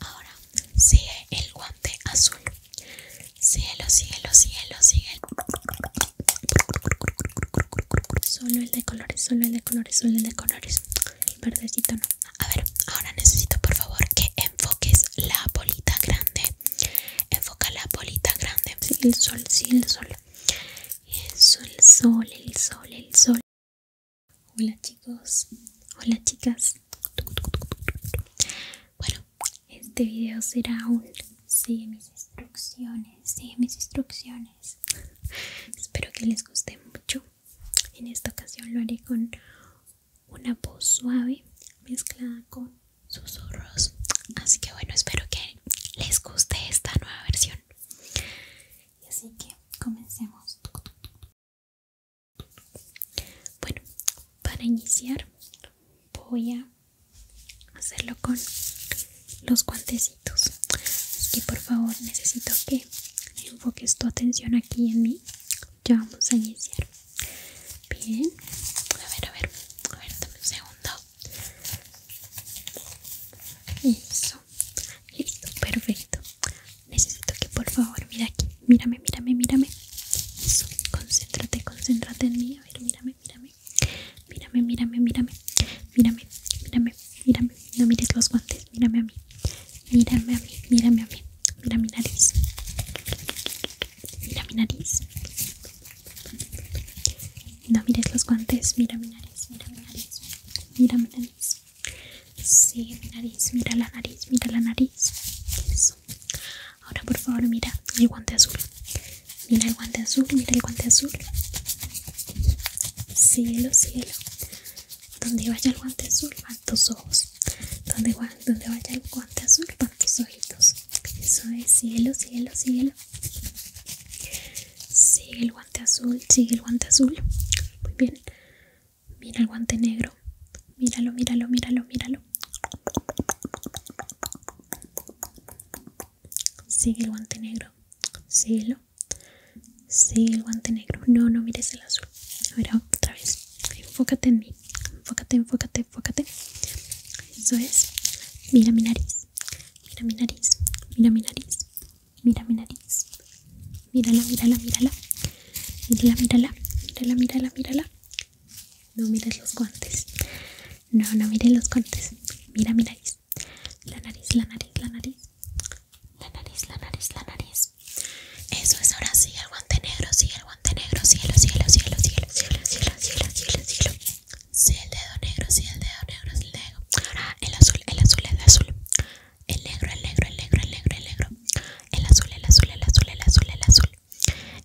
Ahora sigue el guante azul. Cielo, cielo, cielo, sigue. Solo el de colores, solo el de colores, solo el de colores. El verdecito no. A ver, ahora necesito por favor que enfoques la bolita grande. Enfoca la bolita grande. el sol, sí, el sol. Eso, el sol, el sol, el sol. Hola chicos, hola chicas. Bueno, este video será un sigue mis instrucciones, sigue mis instrucciones. Espero que les guste mucho. En esta ocasión lo haré con una voz suave mezclada con susurros. Así que bueno, espero que les guste esta nueva versión. Y así que comencemos. Bueno, para iniciar voy a hacerlo con los guantecitos. Así que por favor necesito que enfoques tu atención aquí en mí. Ya vamos a iniciar. Bien. A ver, a ver. A ver, dame un segundo. Eso. Listo, perfecto necesito que por favor, mira aquí, mírame, mírame, mírame. Eso, concéntrate, concéntrate en mí. A ver, mírame, mírame. Mírame, mírame, mírame. Mírame, mírame, mírame. No mires los guantes, mírame a mí. Mírame a mí, mírame a mí. Mira mi nariz. Mira mi nariz. No mires los guantes, mira mi nariz, mira mi nariz. Mira mi nariz. Sigue mi nariz, mira la nariz, mira la nariz. Ahora por favor mira el guante azul. Mira el guante azul, mira el guante azul. Cielo, cielo. Donde vaya el guante azul van tus ojos. Donde, donde vaya el guante azul van tus ojitos. Eso es cielo, cielo, cielo. Sigue el guante azul, sigue el guante azul. Muy bien. Mira el guante negro. Míralo, míralo, míralo, míralo. Sigue el guante negro. Síguelo. Sigue el guante negro. No, no mires el azul. A ver, otra vez. Enfócate en mí. Enfócate, enfócate, enfócate. Eso es. Mira mi nariz. Mira mi nariz. Mira mi nariz. Mira mi nariz. Mírala, mírala, mírala. Mírala, mírala. Mírala, mírala, mírala. No mires los guantes. No, no mires los guantes. Mira mi nariz. La nariz, la nariz, la nariz. La nariz, la nariz, la nariz. Eso es ahora sí, el guante negro, sí, el guante negro, cielo, cielo, cielo, cielo, cielo, cielo, cielo, cielo, cielo. Sí, el dedo negro, sí, el dedo negro, sí, el dedo. Ahora el azul, el azul, el azul el negro, el negro, el negro, el negro, el negro, el azul, el azul, el azul, el azul, el azul,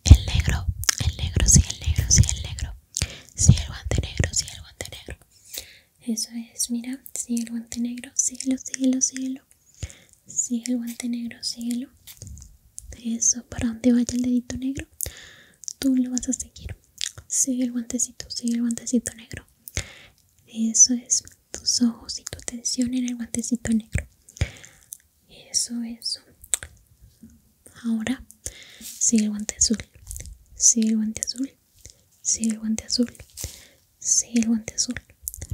el negro, el negro, sí, el negro, sí, el negro, sí, el guante negro, sí, el guante negro. Eso es, mira, sigue el guante negro, síguelo, síguelo, síguelo. Sigue el guante negro, síguelo. Eso, para donde vaya el dedito negro, tú lo vas a seguir. Sigue el guantecito, sigue el guantecito negro. Eso es tus ojos y tu atención en el guantecito negro. Eso, es. Ahora sigue el guante azul. Sigue el guante azul. Sigue el guante azul. Sigue el guante azul.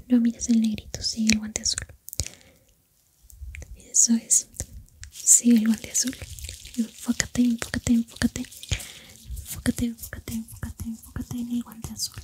No mires el negrito, sigue el guante azul. Eso es. Sigue el guante azul. Enfócate, enfócate, enfócate. Enfócate, enfócate, enfócate, enfócate en el guante azul.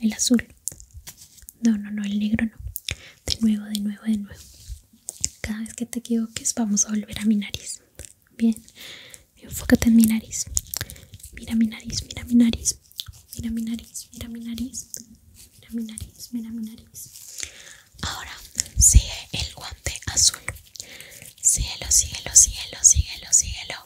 El azul. No, no, no, el negro no. De nuevo, de nuevo, de nuevo. Cada vez que te equivoques vamos a volver a mi nariz. Bien. Enfócate en mi nariz. Mira mi nariz, mira mi nariz. Mira mi nariz, mira mi nariz. Mira mi nariz, mira mi nariz. Ahora sigue el guante azul. Síguelo, síguelo, síguelo, síguelo, síguelo.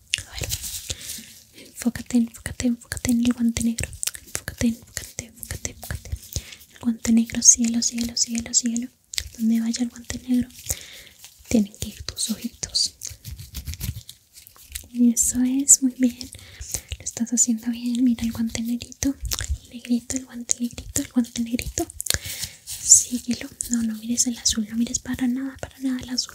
A ver, enfócate, enfócate, enfócate en el guante negro. Enfócate, enfócate, enfócate, enfócate. El guante negro, cielo, cielo, cielo, cielo. Donde vaya el guante negro, tienen que ir tus ojitos. Eso es, muy bien. Lo estás haciendo bien. Mira el guante negrito, el negrito, el guante negrito, el guante negrito. Síguelo. No, no mires el azul, no mires para nada, para nada el azul.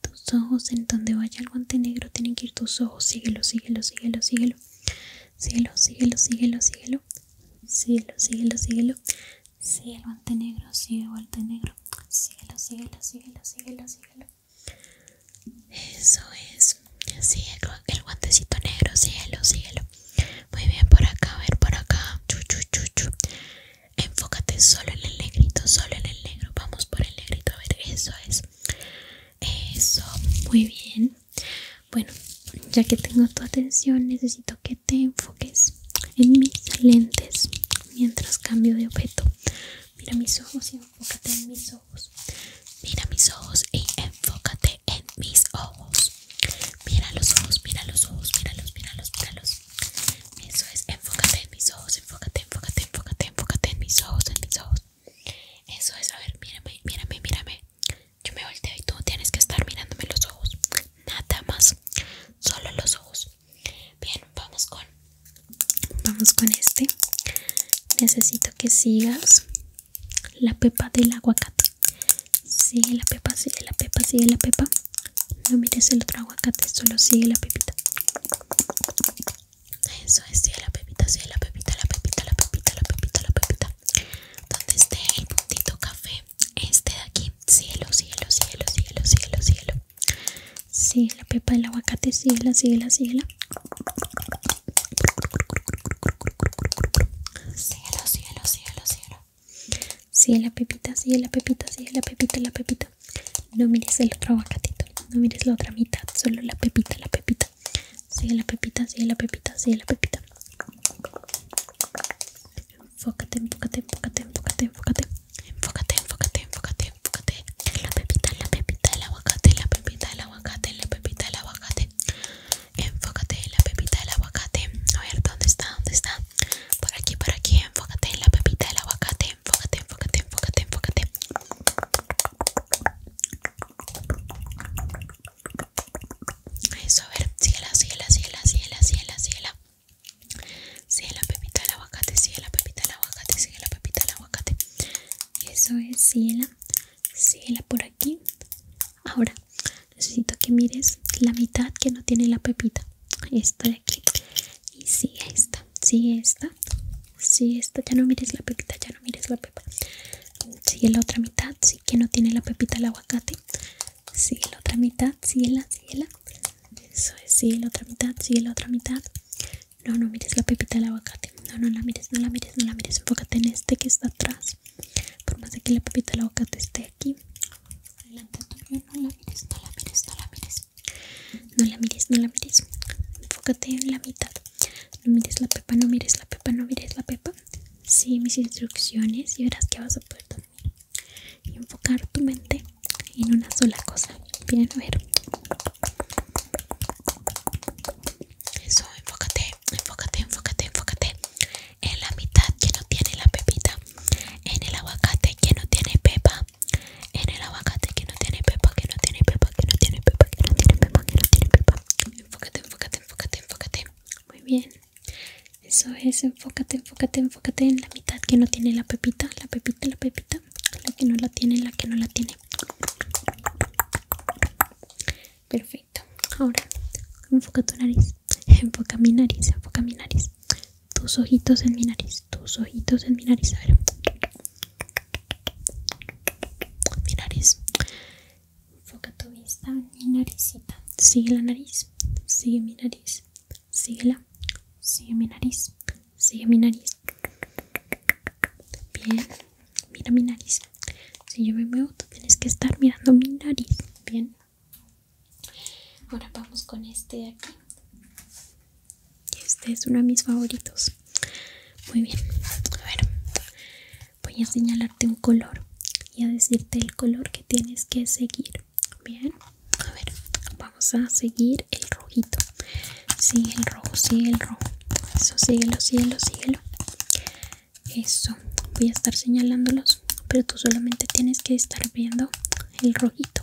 Tus ojos, en donde vaya el guante negro, tienen que ir tus ojos. Síguelo, síguelo, síguelo, síguelo. Síguelo, síguelo, síguelo, síguelo. Síguelo, síguelo, síguelo. Sigue el guante negro, sigue el guante negro. Síguelo, síguelo, síguelo, síguelo, síguelo. Eso es. Sigue el guantecito negro, síguelo, síguelo. Muy bien, por acá, a ver, por acá. Chu, chu, enfócate solo en el negrito, solo en el negro. Vamos por el negrito, a ver, eso es. Eso, muy bien. Bueno, ya que tengo tu atención, necesito que te enfoques en mis lentes mientras cambio de objeto. Mira mis ojos y enfócate en mis ojos. Mira mis ojos y enfócate en mis ojos. Mira los ojos, mira los ojos, mira los, míralos, los míralos. Eso es, enfócate en mis ojos, enfócate, enfócate, enfócate, enfócate en mis ojos, en mis ojos. Eso es, a ver, mírame, mírame, mírame. Yo me volteo y tú tienes que estar mirándome los ojos. Nada más, solo los ojos. Bien, vamos con vamos con este. Necesito que sigas la pepa del aguacate. Sigue la pepa, sigue la pepa, sigue la pepa. No mires el otro aguacate, solo sigue la pepita. Eso es, sigue la pepita, sigue la pepita, la pepita, la pepita, la pepita, la pepita. Donde esté el puntito café, este de aquí. Cielo, cielo, cielo, cielo, cielo, cielo. Sigue la pepa del aguacate, sigue la, sigue la, sigue la. Cielo, cielo, sigue la, la, Sigue la pepita, sigue la pepita, sigue la pepita, la pepita. No mires el otro aguacatito. No mires la otra mitad. Solo la pepita, la pepita. Sigue la pepita, sigue la pepita, sigue la pepita. Enfócate, enfócate, enfócate, enfócate, enfócate. Enfócate, enfócate, enfócate, enfócate. La pepita, la pepita, el aguacate, la pepita, el aguacate, la pepita, el aguacate. Enfócate la pepita del aguacate. A ver, ¿dónde está? ¿Dónde está? Por aquí, por aquí, enfócate en la pepita del aguacate. Enfócate, enfócate, enfócate, enfócate. Eso, a ver, síguela, síguela, síguela, síguela, síguela, síguela. Sigue pepita del aguacate, síguela, pepita del aguacate, síguela, pepita del aguacate. Eso es, síguela, síguela por aquí. Ahora necesito que mires la mitad que no tiene la pepita. Esto de aquí. Y sigue esta, si esta, si esta, ya no mires la pepita, ya no mires la pepa. Sigue la otra mitad, sí que no tiene la pepita el aguacate. Sigue la otra mitad, sigue la, si la. Eso es, sigue la otra mitad, sigue la otra mitad. No, no mires la pepita del aguacate. No, no la mires, no la mires, no la mires. Enfócate en este que está atrás. Por más de que la pepita del aguacate esté aquí adelante no la mires, no la mires, no la mires No la mires, no la mires Enfócate en la mitad No mires la pepa, no mires la pepa, no mires la pepa sí mis instrucciones y verás que vas a poder enfocar tu mente en una sola cosa Bien, a ver Eso, enfócate, enfócate, enfócate, enfócate En la mitad que no tiene la pepita En el aguacate que no tiene pepa en el aguacate que no tiene pepa, que no tiene pepa, que no tiene pepa, que no tiene pepa, que no tiene pepa. Enfócate, enfócate, enfócate, enfócate. Muy bien. Eso es, enfócate, enfócate, enfócate en la mitad que no tiene la pepita, la pepita, la pepita, la que no la tiene, la que no la tiene. Perfecto. Ahora, enfoca tu nariz. Enfoca mi nariz, enfoca mi nariz. Tus ojitos en mi nariz tus ojitos en mi nariz. A ver. Mi nariz. Enfoca tu vista en mi naricita. Sigue la nariz. Sigue mi nariz. sigue la, Sigue mi nariz. Sigue mi nariz. Bien. Mira mi nariz. Si yo me muevo, tú tienes que estar mirando mi nariz. Bien. Ahora vamos con este de aquí este es uno de mis favoritos muy bien a ver voy a señalarte un color y a decirte el color que tienes que seguir bien a ver vamos a seguir el rojito sigue sí, el rojo sigue sí, el rojo eso síguelo síguelo síguelo eso voy a estar señalándolos pero tú solamente tienes que estar viendo el rojito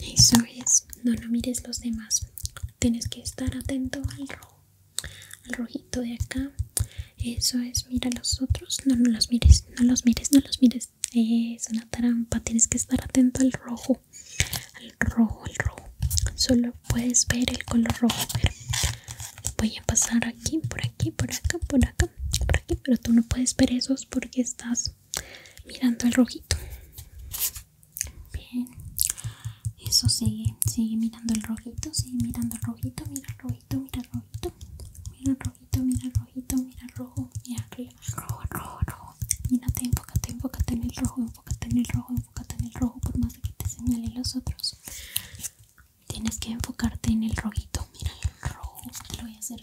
Eso es, no lo mires los demás. Tienes que estar atento al rojo, al rojito de acá. Eso es, mira los otros. No, no los mires, no los mires, no los mires. Es una trampa, tienes que estar atento al rojo, al rojo, al rojo. Solo puedes ver el color rojo. Voy a pasar aquí, por aquí, por acá, por acá, por aquí, pero tú no puedes ver esos porque estás mirando el rojito bien eso sigue sigue mirando el rojito sigue mirando el rojito mira el rojito mira el rojito mira rojito mira rojito mira rojo mira rojo rojo rojo mírate enfócate enfócate en el rojo enfócate en el rojo enfócate en el rojo por más que te señale los otros tienes que enfocarte en el rojito mira el rojo lo voy a hacer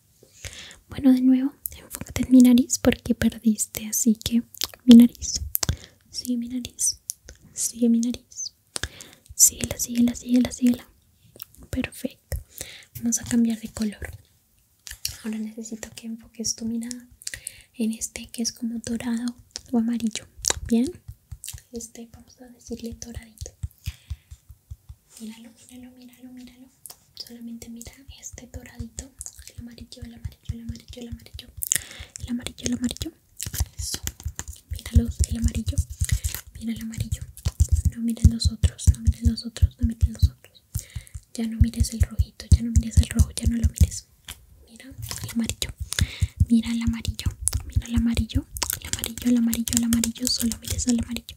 Bueno, de nuevo, enfócate en mi nariz porque perdiste, así que mi nariz. Sigue mi nariz. Sigue mi nariz. la Síguela, síguela, síguela, síguela. Perfecto. Vamos a cambiar de color. Ahora necesito que enfoques tu mirada en este que es como dorado o amarillo. Bien. Este, vamos a decirle doradito. Míralo, míralo, míralo, míralo. Solamente mira este doradito. El amarillo, el amarillo, el amarillo, el amarillo. El amarillo, el amarillo. Eso. el amarillo. Mira el amarillo. No miren los otros, no miren los otros, no miren los otros. Ya no mires el rojito, ya no mires el rojo, ya no lo mires. Mira el amarillo. Mira el amarillo. Mira el amarillo. El amarillo, el amarillo, el amarillo. Solo mires el amarillo.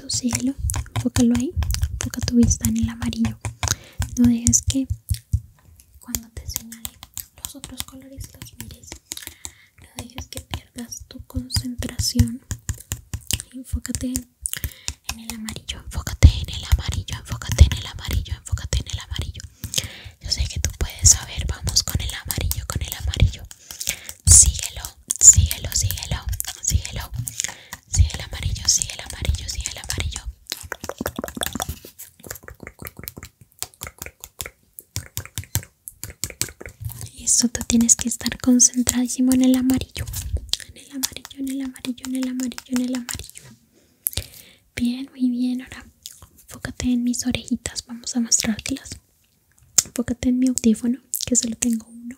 síguelo, enfócalo ahí, enfoca tu vista en el amarillo. No dejes que cuando te señale los otros colores los mires. No dejes que pierdas tu concentración. Enfócate en el amarillo, enfócate en el amarillo, enfócate en el amarillo, enfócate en el amarillo. Yo sé que tú puedes saber, vamos con el amarillo, con el amarillo. Síguelo, síguelo, síguelo, síguelo. Sí, el amarillo, sí, el amarillo, sí, el amarillo. Eso, tú tienes que estar concentradísimo en el amarillo. En el amarillo, en el amarillo, en el amarillo, en el amarillo. Bien, muy bien. Ahora enfócate en mis orejitas. Vamos a mostrártelas. Fócate en mi audífono, que solo tengo uno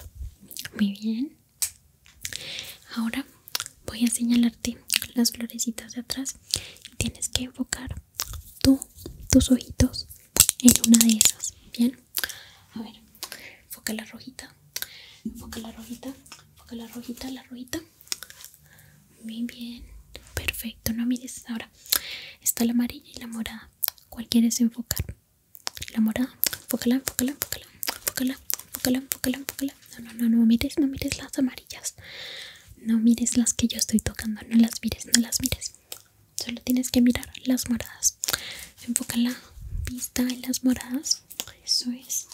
muy bien. Ahora voy a señalarte las florecitas de atrás y tienes que enfocar tú, tus ojitos en una de esas. Bien. A ver, enfoca la rojita. Enfoca la rojita. Enfoca la rojita, la rojita. Muy bien. Perfecto. No mires ahora. Está la amarilla y la morada. ¿Cuál quieres enfocar? La morada, enfócala, enfócala, enfócala, enfócala, enfócala, enfócala, enfócala. No, no, no, no mires, no mires las amarillas. No mires las que yo estoy tocando, no las mires, no las mires. Solo tienes que mirar las moradas. enfócala, la vista en las moradas. Eso es.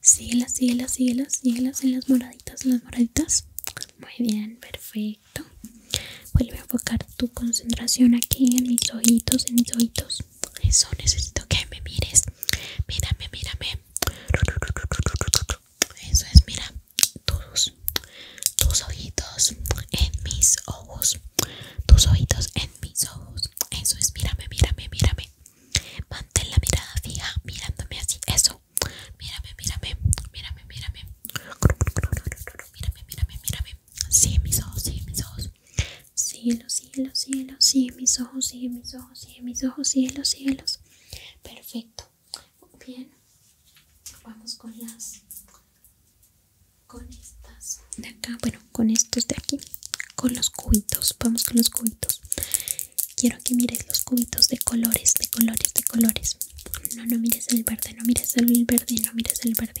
Síguelas, síguelas, síguelas, síguelas en las moraditas, en las moraditas. Muy bien, perfecto vuelve a enfocar tu concentración aquí en mis ojitos en mis ojitos eso necesito que me mires mírame mírame eso es mira tus tus ojitos en mis ojos tus ojitos en mis ojos eso es mírame mírame mírame mantén la mirada fija mirándome así eso mírame mírame mírame mírame mírame mírame mírame Sigue mis ojos, sigue mis ojos. Cielos, sigue cielos, sigue mis ojos, sigue mis ojos, sigue mis ojos, los cielos. Perfecto. Bien. Vamos con las con estas de acá, bueno, con estos de aquí, con los cubitos. Vamos con los cubitos. Quiero que mires los cubitos de colores, de colores, de colores. No, no mires el verde, no mires el verde, no mires el verde.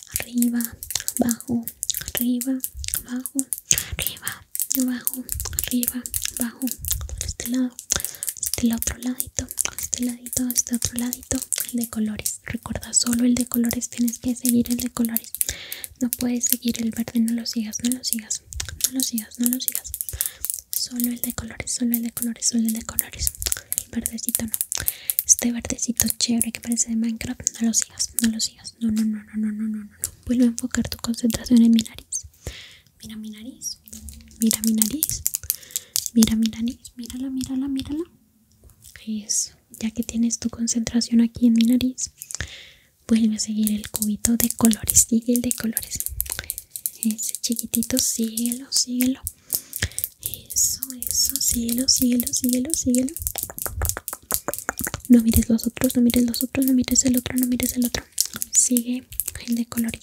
arriba, abajo, arriba, abajo, arriba, abajo, arriba, abajo, por este lado, este otro ladito, este ladito, este otro ladito, el de colores. Recuerda solo el de colores, tienes que seguir el de colores. No puedes seguir el verde, no lo sigas, no lo sigas, no lo sigas, no lo sigas. Solo el de colores, solo el de colores, solo el de colores verdecito no este verdecito chévere que parece de Minecraft no lo sigas no lo sigas no no no no no no no no vuelve a enfocar tu concentración en mi nariz mira mi nariz mira mi nariz mira mi nariz mírala mírala mírala eso ya que tienes tu concentración aquí en mi nariz vuelve a seguir el cubito de colores sigue el de colores ese chiquitito síguelo síguelo eso, eso, síguelo, síguelo, síguelo, síguelo. No mires los otros, no mires los otros, no mires el otro, no mires el otro. Sigue el de colores.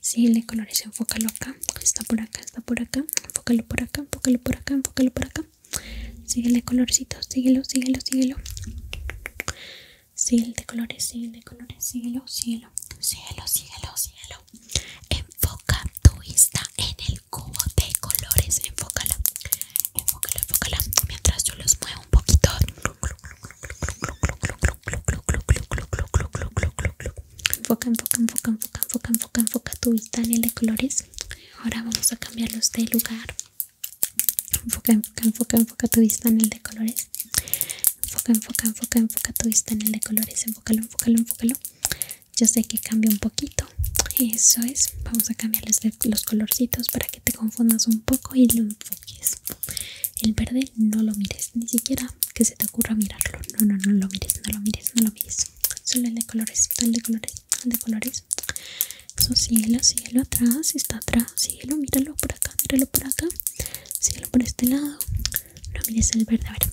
Sigue el de colores, enfócalo acá. Está por acá, está por acá. Enfócalo por acá, enfócalo por acá, enfócalo por acá. Sigue el de colorcito síguelo, síguelo, síguelo. Sigue el de colores, sigue el de colores, síguelo, síguelo. Síguelo, síguelo, síguelo. Enfoca tu vista en el cubo de colores. Enfócala, Enfócalo, enfócala. Mientras yo los muevo un poquito. Enfoca, enfoca, enfoca, enfoca, enfoca, enfoca, enfoca tu vista en el de colores. Ahora vamos a cambiarlos de lugar. Enfoca, enfoca, enfoca, enfoca tu vista en el de colores. Enfoca, enfoca, enfoca, enfoca tu vista en el de colores. Enfócalo, enfócalo, enfócalo yo sé que cambia un poquito eso es vamos a cambiarles los colorcitos para que te confundas un poco y lo enfoques el verde no lo mires ni siquiera que se te ocurra mirarlo no no no lo mires no lo mires no lo mires solo el de colores el de colores el de colores eso síguelo síguelo atrás está atrás síguelo míralo por acá míralo por acá síguelo por este lado no mires el verde a ver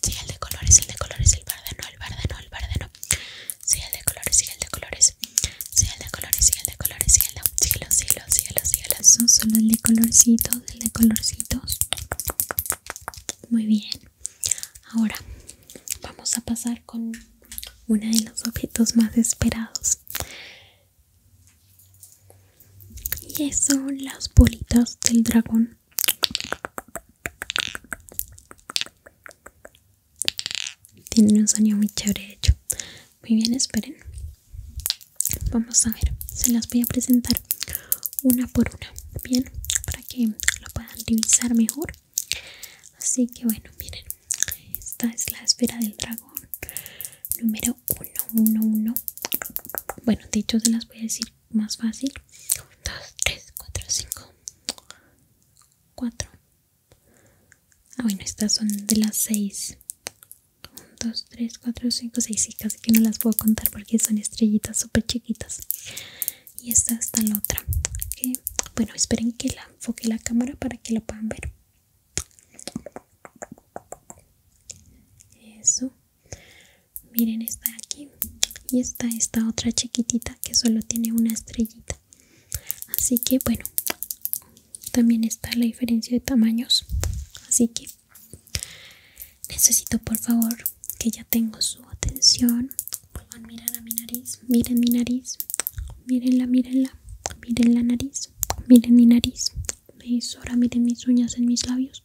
Sigue el de colores, el de colores, el verde no, el verde no, el verde no. el de colores, sigue el de colores. Sigue el de colores, sigue el de colores, sigue el de solo el de colorcitos, el de colorcitos. Muy bien. Ahora vamos a pasar con uno de los objetos más esperados. Y son las bolitas del dragón. Tienen un sonido muy chévere hecho. Muy bien, esperen. Vamos a ver, se las voy a presentar una por una, bien, para que lo puedan divisar mejor. Así que bueno, miren, esta es la esfera del dragón número 111. Bueno, de hecho se las voy a decir más, fácil 1, 2, 3, 4, 5 4 ah bueno estas son de las 6 1, 2, 3, 4, 5, 6 y casi que no las puedo contar porque son estrellitas súper chiquitas y esta está la otra ¿okay? bueno esperen que la enfoque la cámara para que la puedan ver eso Miren está aquí y está esta otra chiquitita que solo tiene una estrellita. Así que bueno, también está la diferencia de tamaños. Así que necesito por favor que ya tengo su atención. miren mi nariz, miren mi nariz, mírenla, mírenla, miren la nariz, miren mi nariz. Ahora miren mis uñas en mis labios.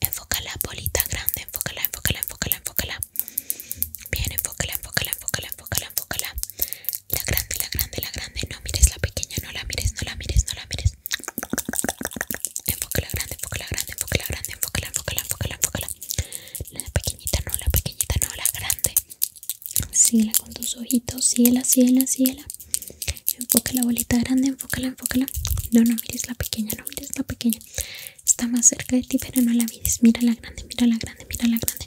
Enfócala, bolita grande, enfócala, enfócala, enfócala, enfócala. Bien, enfócala, enfócala, enfócala, enfócala, enfócala. La grande, la grande, la grande. No mires la pequeña, no la mires, no la mires, no la mires. Enfócala grande, enfócala grande, enfócala grande, enfócala, enfócala, enfócala, enfócala. La pequeñita no, la pequeñita no, la grande. Síguela con tus ojitos, síguela, síguela, Enfoca la bolita grande, enfócala, enfócala. No, no mires la pequeña, no mires la pequeña. Está más cerca de ti, pero no la vides. Mira la grande, mira la grande, mira la grande.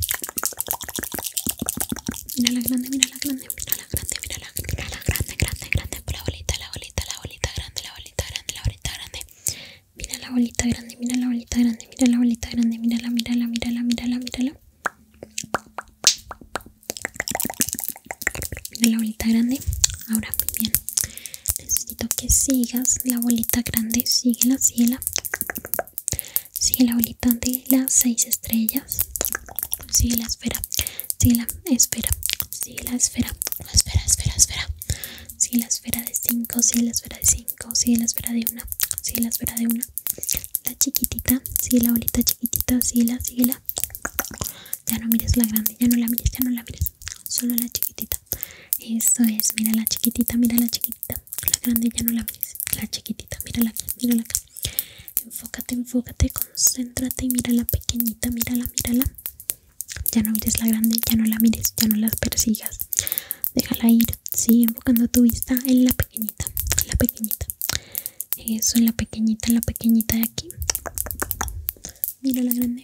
Mira la grande, mira la grande, mira la grande, mira la, mira la grande, grande, grande. La bolita, la bolita, la bolita grande, la bolita grande, la bolita grande. Mira la bolita grande, mira la bolita grande, mira la bolita grande, la mírala, mírala, mírala, mírala. Mira la bolita grande. Ahora, bien necesito que sigas la bolita grande la síguela sigue la bolita de las seis estrellas sigue la esfera sigue la esfera sigue la esfera espera espera, espera. esfera sigue la esfera de 5 sigue la esfera de cinco, sigue la esfera de una, sigue la esfera de una, la chiquitita sigue la bolita chiquitita sigue la, ya no mires la grande ya no la mires ya no la mires solo la chiquitita. Eso es, mira la chiquitita, mira la chiquitita. La grande ya no la mires la chiquitita, mírala aquí, mírala acá. Enfócate, enfócate, concéntrate y mira la pequeñita, mírala, mírala. Ya no mires la grande, ya no la mires, ya no la persigas. Déjala ir, sí, enfocando tu vista en la pequeñita, en la pequeñita. Eso, en la pequeñita, la pequeñita de aquí. Mira la grande,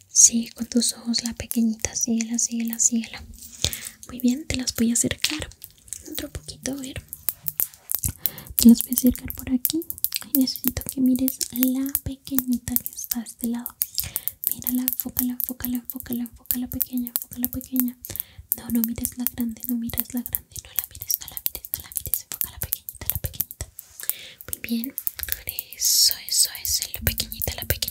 Sí, con tus ojos la pequeñita, síguela, síguela, síguela Muy bien, te las voy a acercar Otro poquito, a ver Te las voy a acercar por aquí Y Necesito que mires la pequeñita que está a este lado Mírala, enfócala, enfócala, enfócala, enfócala pequeña, enfócala pequeña No, no mires la grande, no mires la grande, no la mires, no la mires, no la mires Enfoca la pequeñita, la pequeñita Muy bien, eso, eso es, la pequeñita, la pequeñita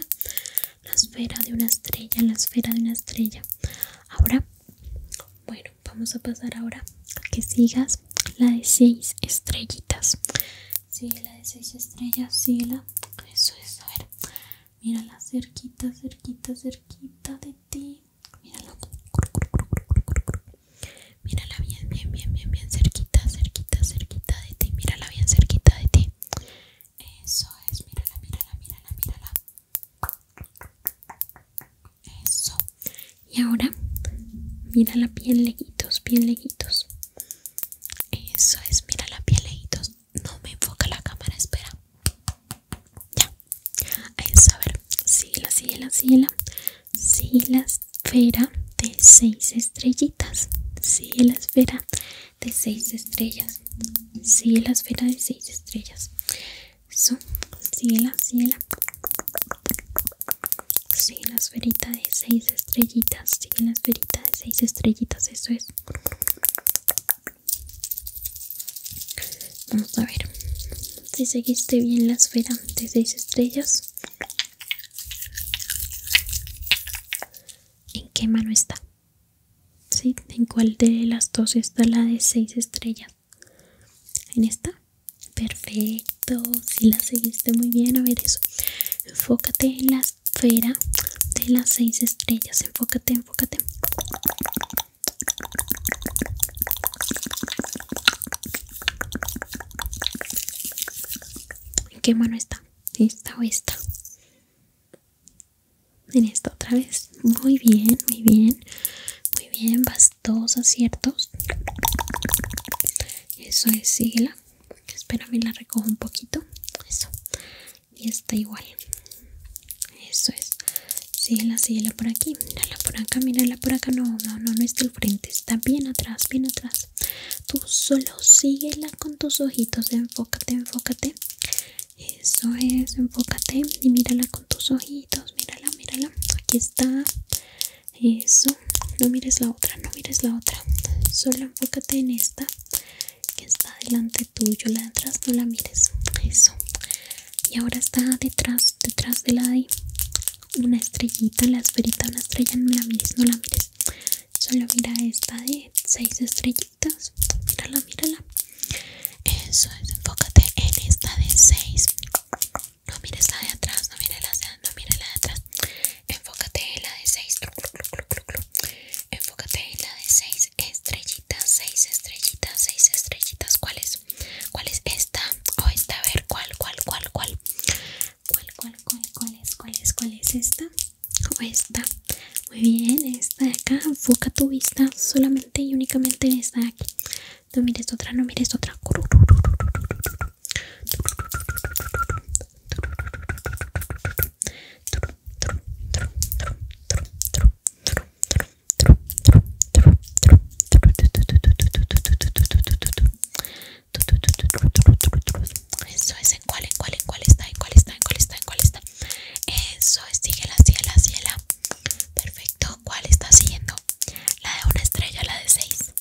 la esfera de una estrella, la esfera de una estrella. Ahora, bueno, vamos a pasar ahora a que sigas la de seis estrellitas. Sigue la de seis estrellas, síguela la. Eso es, a ver. Mírala cerquita, cerquita, cerquita de ti. Mírala. Mírala bien, bien, bien, bien, bien cerquita, cerquita, cerquita de ti. Mírala bien cerquita de ti. Eso es, mírala, mírala, mírala, mírala. Eso. Y ahora, mírala bien leguitos, bien leguitos. Eso es, mírala bien leguitos. No me enfoca la cámara, espera. Ya. Eso, a ver. Síguela, síguela, síguela. Sí, la esfera de seis estrellitas. Sí, la esfera de seis estrellas. Sigue la esfera de seis estrellas. Eso, sigue la, sigue la. Sigue la esferita de seis estrellitas. Sigue la esferita de seis estrellitas. Eso es. Vamos a ver si seguiste bien la esfera de seis estrellas en qué mano está. ¿Sí? ¿En cuál de las dos está la de seis estrellas? ¿En esta? Perfecto, si la seguiste muy bien, a ver eso. Enfócate en la esfera de las seis estrellas, enfócate, enfócate. ¿En qué mano está? esta o esta en esta otra vez muy bien muy bien muy bien bastos aciertos eso es síguela mí la recojo un poquito eso y está igual eso es síguela síguela por aquí la por acá la por acá no no no no está al frente está bien atrás bien atrás Tú solo síguela con tus ojitos, enfócate, enfócate. Eso es, enfócate y mírala con tus ojitos, mírala, mírala. Aquí está. Eso. No mires la otra, no mires la otra. Solo enfócate en esta que está delante tuyo, la de atrás no la mires. Eso. Y ahora está detrás, detrás de la de una estrellita, la esferita, una estrella, no la mires, no la mires. Solo mira esta de 6 estrellitas. Mírala, mírala. Eso es, enfócate en esta de 6. No mires la de atrás, no mires la de, no mires la de atrás. Enfócate en la de 6. Enfócate en la de 6 estrellitas, 6 estrellitas, 6 estrellitas. ¿Cuál es? ¿Cuál es esta? O esta, a ver, ¿cuál, cuál, cuál, cuál? ¿Cuál, cuál, cuál, cuál es? ¿Cuál es? ¿Cuál es esta? como esta muy bien esta de acá enfoca tu vista solamente y únicamente en esta aquí no mires otra no mires otra eso es, ¿en cuál, en cuál, en cuál está? ¿En cuál está? ¿En cuál está? ¿En cuál está? Eso es, síguela, síguela, síguela. Perfecto, ¿cuál está siguiendo? ¿La de una estrella la de seis?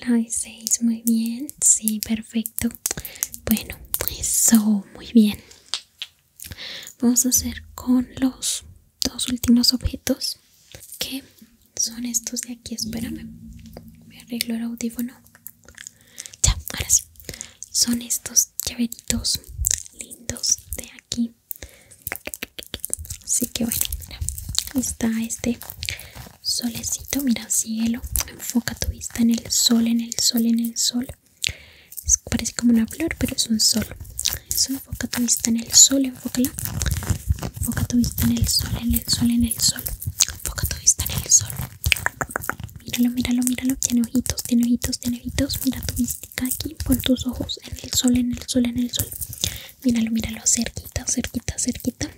La de seis, muy bien. Sí, perfecto. Bueno, eso, muy bien. Vamos a hacer con los dos últimos objetos que son estos de aquí. Espérame, me arreglo el audífono. Ya, ahora sí. Son estos llaveritos lindos de aquí. Así que bueno, mira. Ahí está este solecito. Mira, cielo. Enfoca tu vista en el sol, en el sol, en el sol. parece como una flor, pero es un sol. Eso, enfoca tu vista en el sol, enfócala. Enfoca tu vista en el sol, en el sol, en el sol. Enfoca tu vista en el sol. Míralo, míralo, míralo. Tiene ojitos, tiene ojitos, tiene ojitos. Mira tu vista aquí. Pon tus ojos en el sol, en el sol, en el sol. Míralo, míralo. Cerquita, cerquita, cerquita.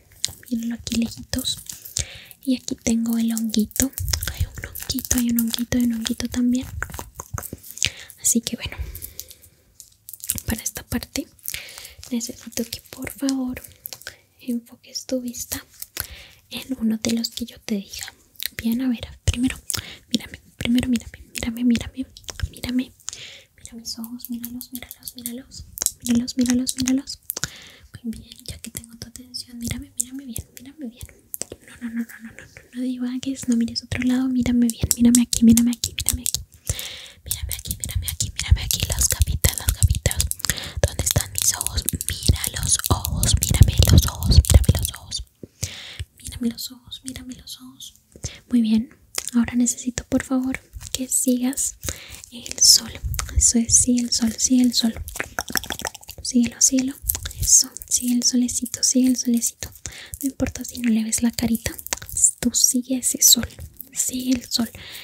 Míralo aquí lejitos. Y aquí tengo el honguito. Hay un honguito, hay un honguito, hay un honguito también. Así que bueno, para esta parte necesito que por favor enfoques tu vista en uno de los que yo te diga. Bien, a ver, primero, mírame, primero mírame, mírame, mírame, mírame. Mira mis ojos, míralos, míralos, míralos, míralos, míralos, míralos. Muy bien, ya que tengo tu atención, mírame, mírame bien, mírame bien. No, no, no, no, no, no, no, no que no mires otro lado, mírame bien, mírame aquí, mírame aquí, mírame aquí. Mírame aquí, mírame aquí, mírame aquí, los capitas, las ¿Dónde están mis ojos? Mira los ojos, mírame los ojos, mírame los ojos. Mírame los ojos, mírame los ojos. Muy bien, ahora necesito por favor que sigas el sol. Eso es, sí, el sol, sí, el sol. Síguelo, síguelo. Eso, sigue el solecito, sigue el solecito. No importa si no le ves la carita, tú sigue ese sol, sigue el sol.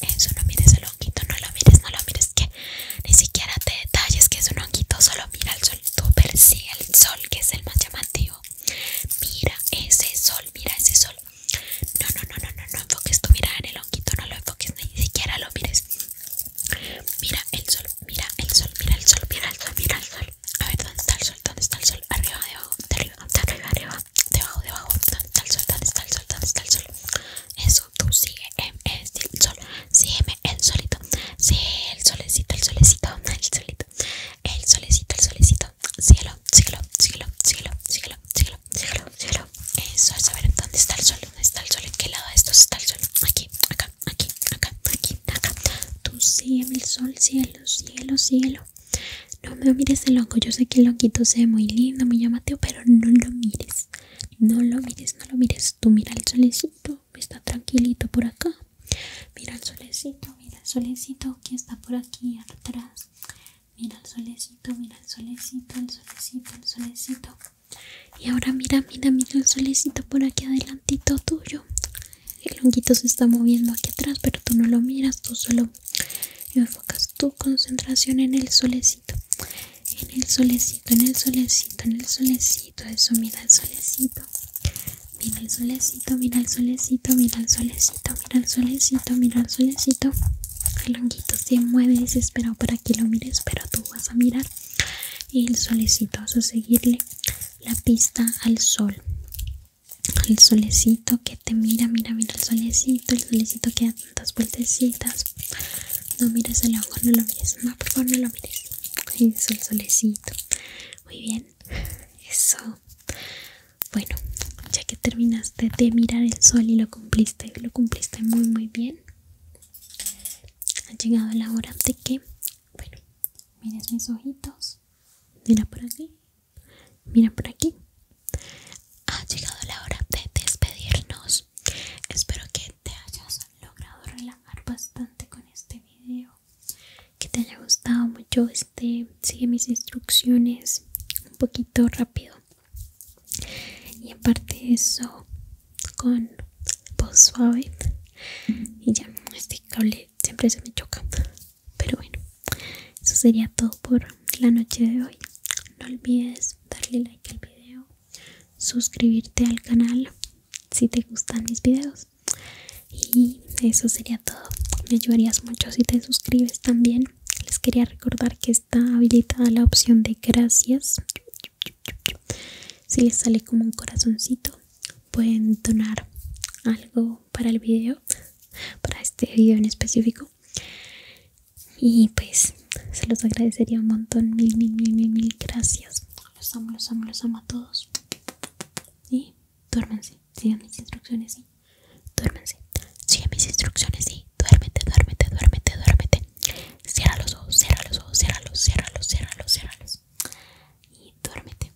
Eso eh, no mires el honguito, no lo mires, no lo mires que ni siquiera te detalles que es un honguito, solo mira el sol, tú persigue el sol que es el más llamativo. Mira ese sol, mira ese sol. No, no, no, no, no, no enfoques tú, mira en el honguito, no lo enfoques, ni siquiera lo mires. Mira el sol, mira el sol, mira el sol, mira el sol, mira el sol. A ver, ¿dónde está el sol? ¿Dónde está el sol? Arriba, abajo, arriba, arriba, arriba debajo, debajo, está el sol, está el sol, está el sol. Eso, tú sigue, el sol, M el solito. Sí, el solecito, el solecito, el solito. El solecito, el solecito. cielo siglo, cielo cielo cielo cielo cielo cielo Eso es saber dónde está el sol, dónde está el sol, en qué lado de estos está el sol. Aquí, acá, aquí, acá, aquí, acá. Tú sigue el sol, cielo, cielo, cielo no me mires el loco, yo sé que el loquito se ve muy lindo, muy llamateo, pero no lo mires, no lo mires, no lo mires, tú mira el solecito, está tranquilito por acá, mira el solecito, mira el solecito que está por aquí atrás, mira el solecito, mira el solecito, el solecito, el solecito. Y ahora mira, mira, mira el solecito por aquí adelantito tuyo. El honguito se está moviendo aquí atrás, pero tú no lo miras, tú solo y enfocas tu concentración en el solecito en el solecito en el solecito en el solecito eso mira el solecito mira el solecito mira el solecito mira el solecito mira el solecito mira el solecito el honguito se mueve desesperado para que lo mires pero tú vas a mirar el solecito vas a seguirle la pista al sol el solecito que te mira, mira, mira el solecito, el solecito que da tantas vueltecitas. No mires el ojo, no lo mires, no, lo mires. Eso, el solecito. Muy bien, eso. Bueno, ya que terminaste de mirar el sol y lo cumpliste, lo cumpliste muy, muy bien. Ha llegado la hora de que, bueno, mires mis ojitos. Mira por aquí, Mira por aquí. Ha llegado la hora de despedirnos. Espero que te hayas logrado relajar bastante con este video. Que te haya gustado mucho este. Sigue mis instrucciones un poquito rápido. Y aparte eso, con voz suave. Y ya, este cable siempre se me choca. Pero bueno, eso sería todo por la noche de hoy. No olvides darle like al video, suscribirte al canal si te gustan mis videos. Y eso sería todo. Me ayudarías mucho si te suscribes también. Les quería recordar que está habilitada la opción de gracias. Si les sale como un corazoncito, pueden donar algo para el video, para este video en específico. Y pues se los agradecería un montón. Mil, mil, mil, mil, mil gracias. Los amo, los amo, los amo a todos. Y duérmense, sigan mis instrucciones y duérmense. sigan mis instrucciones y duérmete, duérmete, duérmete, duérmete. Cierra los ojos, cierra los ojos, cierra los, cierra los, cierra los, cierra los. Y duérmete.